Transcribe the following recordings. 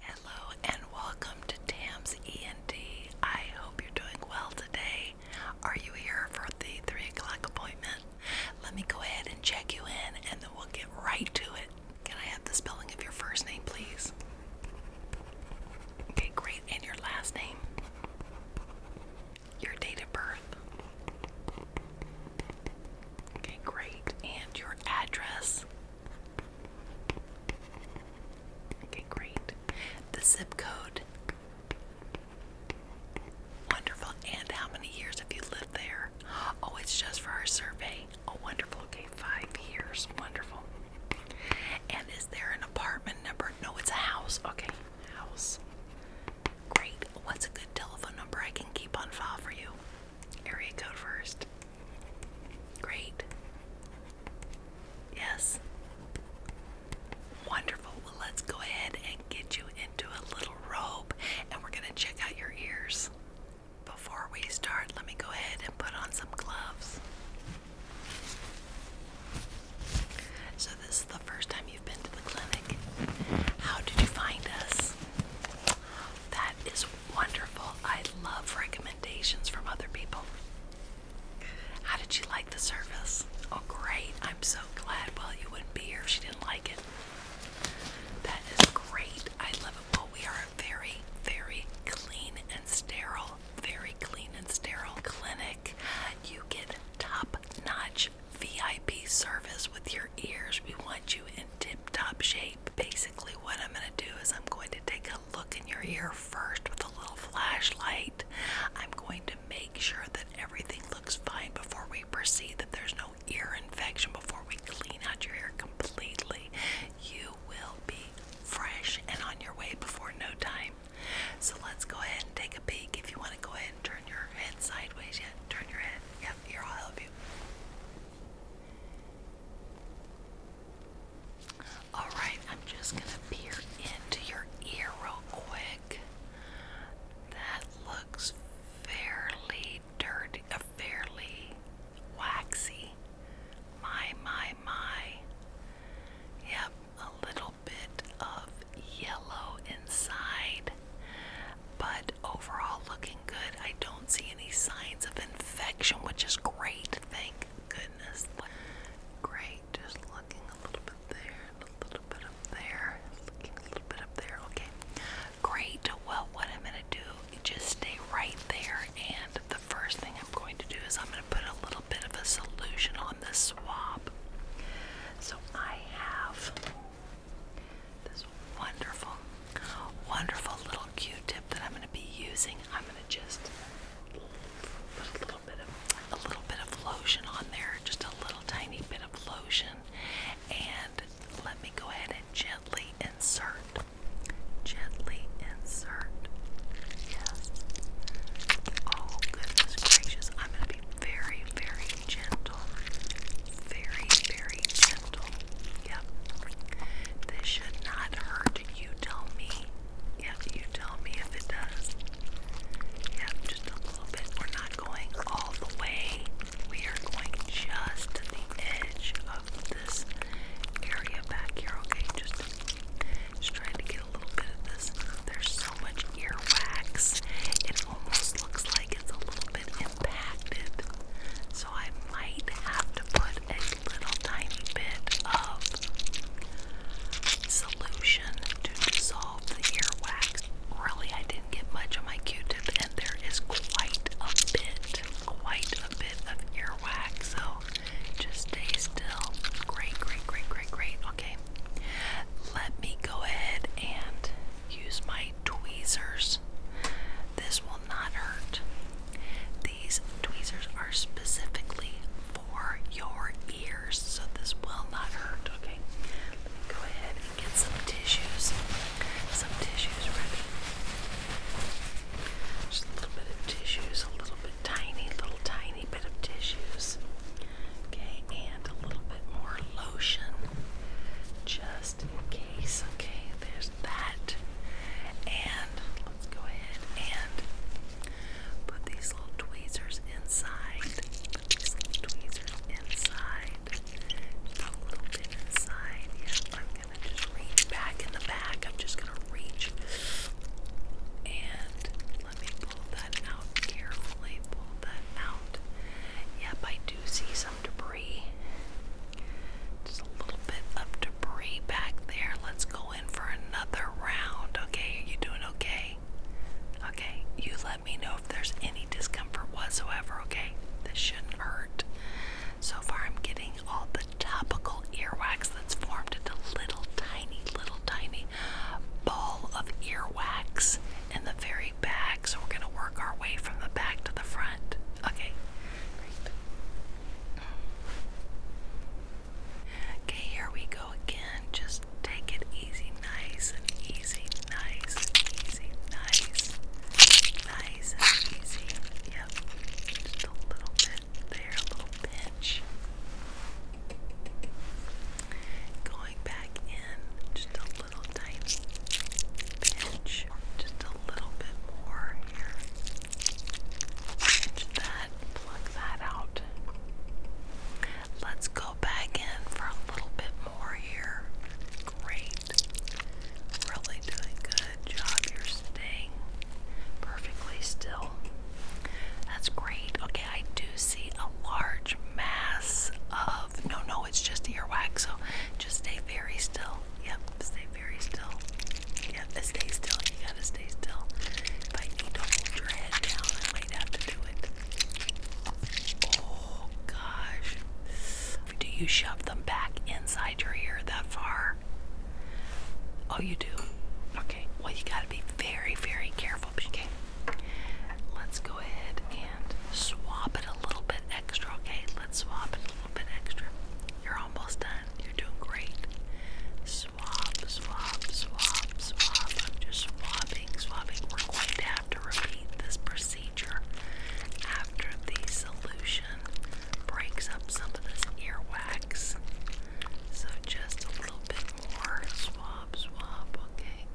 Hello and welcome to TAMS ENT. I hope you're doing well today. Are you here for the 3 o'clock appointment? Let me go ahead and check you in and then we'll get right to it. Can I have the spelling of your first name, please? Okay, great. And your last name? Your date of birth? Okay, great. And your address? Okay, great. The zip code. Wonderful. And how many years have you lived there? Oh, it's just for our survey. Oh, wonderful. Okay, five years. Wonderful. And is there an apartment number? No, it's a house. Okay, house. Great. What's a good telephone number I can keep on file for you? Area code first. Great. Yes. Wonderful. Well, let's go ahead and get you into a little robe and we're going to check out your ears. Before we start, let me go ahead and put on some gloves. So, this is the first time you've been to the clinic. How did you find us? That is wonderful. I love recommendations from other people. How did you like the service? Oh, great. I'm so glad. Well, you wouldn't be here if she didn't like it. That is great. I love it. Well, we are a very, very clean and sterile, very clean and sterile clinic. You get top notch VIP service with your ears. We want you in tip-top shape. Basically, what I'm going to do is I'm going to take a look in your ear first with a little flashlight. I'm going to make sure that everything looks fine before we proceed, that there's no ear infection before we clean out your ear completely. You will be fresh and on your way before no time. So let's go ahead and take a peek. If you want to go ahead and turn your head sideways, yeah, turn your head. Yep, here I'll help you. Alright, I'm just gonna peer into your ear real quick. That looks fairly dirty, uh, fairly waxy. My, my, my. Yep, a little bit of yellow inside, but overall looking good. I don't see any signs of infection, which is great. Thank goodness. Great. Just looking a little bit there a little bit up there. Looking a little bit up there. Okay. Great. Well, what I'm going to do just stay right there. And the first thing I'm going to do is I'm going to put a little bit of a solution on the swab. So I have this wonderful, wonderful little Q-tip that I'm going to be using. I'm going to just put a little bit of a little bit of lotion on there, just a little tiny bit of lotion, and let me go ahead and gently insert, gently insert. Yes. Oh goodness gracious! I'm going to be very, very gentle, very, very gentle. Yep. This should not hurt. You tell me. Yep, you tell me if it does. Yep, just a little bit. We're not going all the way. We are going just to the edge of this area back here, okay? Just, just trying to get a little bit of this. There's so much earwax. It almost looks like it's a little bit impacted. So so I might have to put a little tiny bit of solution to dissolve the earwax. Really, I didn't get much on my Q-tip, and there is quite a bit, quite a bit of earwax. So just stay still. Great, great, great, great, great. Okay, let me go ahead and use my tweezers. This will not hurt. These tweezers are specifically for your ears, so this will not hurt. Okay, go ahead and get some tissues. Some tissues ready. Just a little bit of tissues, a little bit tiny, little tiny bit of tissues. Okay, and a little bit more lotion. Just in Okay, there's that. And let's go ahead and put these little tweezers inside. these tweezers inside. Just a little inside. I'm gonna just reach back in the back. I'm just gonna reach and let me pull that out carefully. Pull that out. Yep, I do see debris. Just a little bit of debris back there. Let's go in for another round. Okay, are you doing okay? Okay, you let me know if there's any discomfort whatsoever, okay? This shouldn't hurt. So far, I'm getting all the topical earwax that's formed into little tiny, little tiny ball of earwax in the very back, so we're going to work our way from the back to the front. Okay, great. Okay, here we go again. Just take it easy, nice and easy, nice and easy, nice, and easy. Yep, just a little bit there, a little pinch. Going back in, just a little tiny pinch. Just a little bit more here. that, pluck that out. Let's go back in for a little bit more here. Great. Really doing good job. You're staying perfectly still. That's great. Okay, I do see a large mass of no, no, it's just earwax. So just stay very still. Yep, stay very still. Yep, stay still. You gotta stay still. If I need to hold your head down, I might have to do it. Oh gosh. Do you shove them back inside your ear that far? Oh, you do? Okay. Well, you gotta be very, very careful. Okay. Let's go ahead and swab it a little bit extra, okay? Let's swap it a little bit extra. You're almost done. You're doing great. Swap, swap, swap, swap. I'm just swapping, swapping. We're going to have to repeat this procedure after the solution breaks up some of this ear wax. So just a little bit more Swap, swap. okay,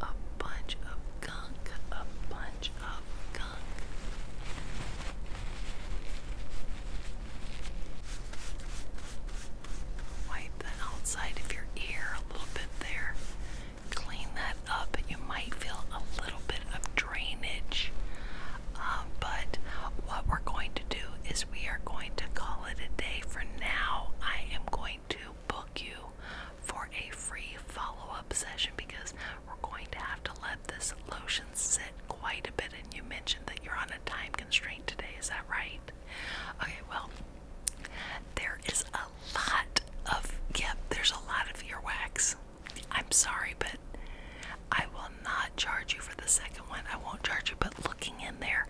a bunch of gunk, a bunch of gunk. Wipe the outside of your ear a little bit there. Clean that up. You might feel a little bit of drainage, um, but what we're going to do is we are going to call it a day for now. I am going to book you for a free follow up session because we're going to have to let this lotion sit quite a bit. And you mentioned that you're on a time constraint today, is that right? Okay, well, there is a lot of, yeah, there's a lot of earwax. I'm sorry, but I will not charge you for the second one. I won't charge you, but looking in there,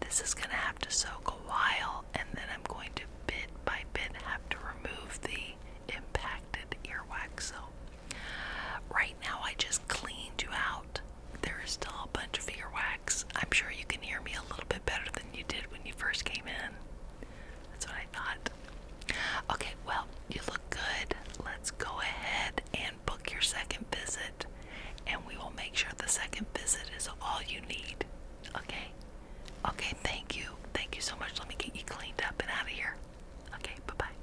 this is going to have to soak a while, and then I'm going to bit by bit have to remove the impacted earwax. So, right now I just cleaned you out. There is still a bunch of earwax. I'm sure you can hear me a little bit better than you did when you first came in. That's what I thought. Okay, well, you look good. Let's go ahead and book your second visit, and we will make sure the second visit is all you need. Okay. Okay, thank you. Thank you so much. Let me get you cleaned up and out of here. Okay, bye bye.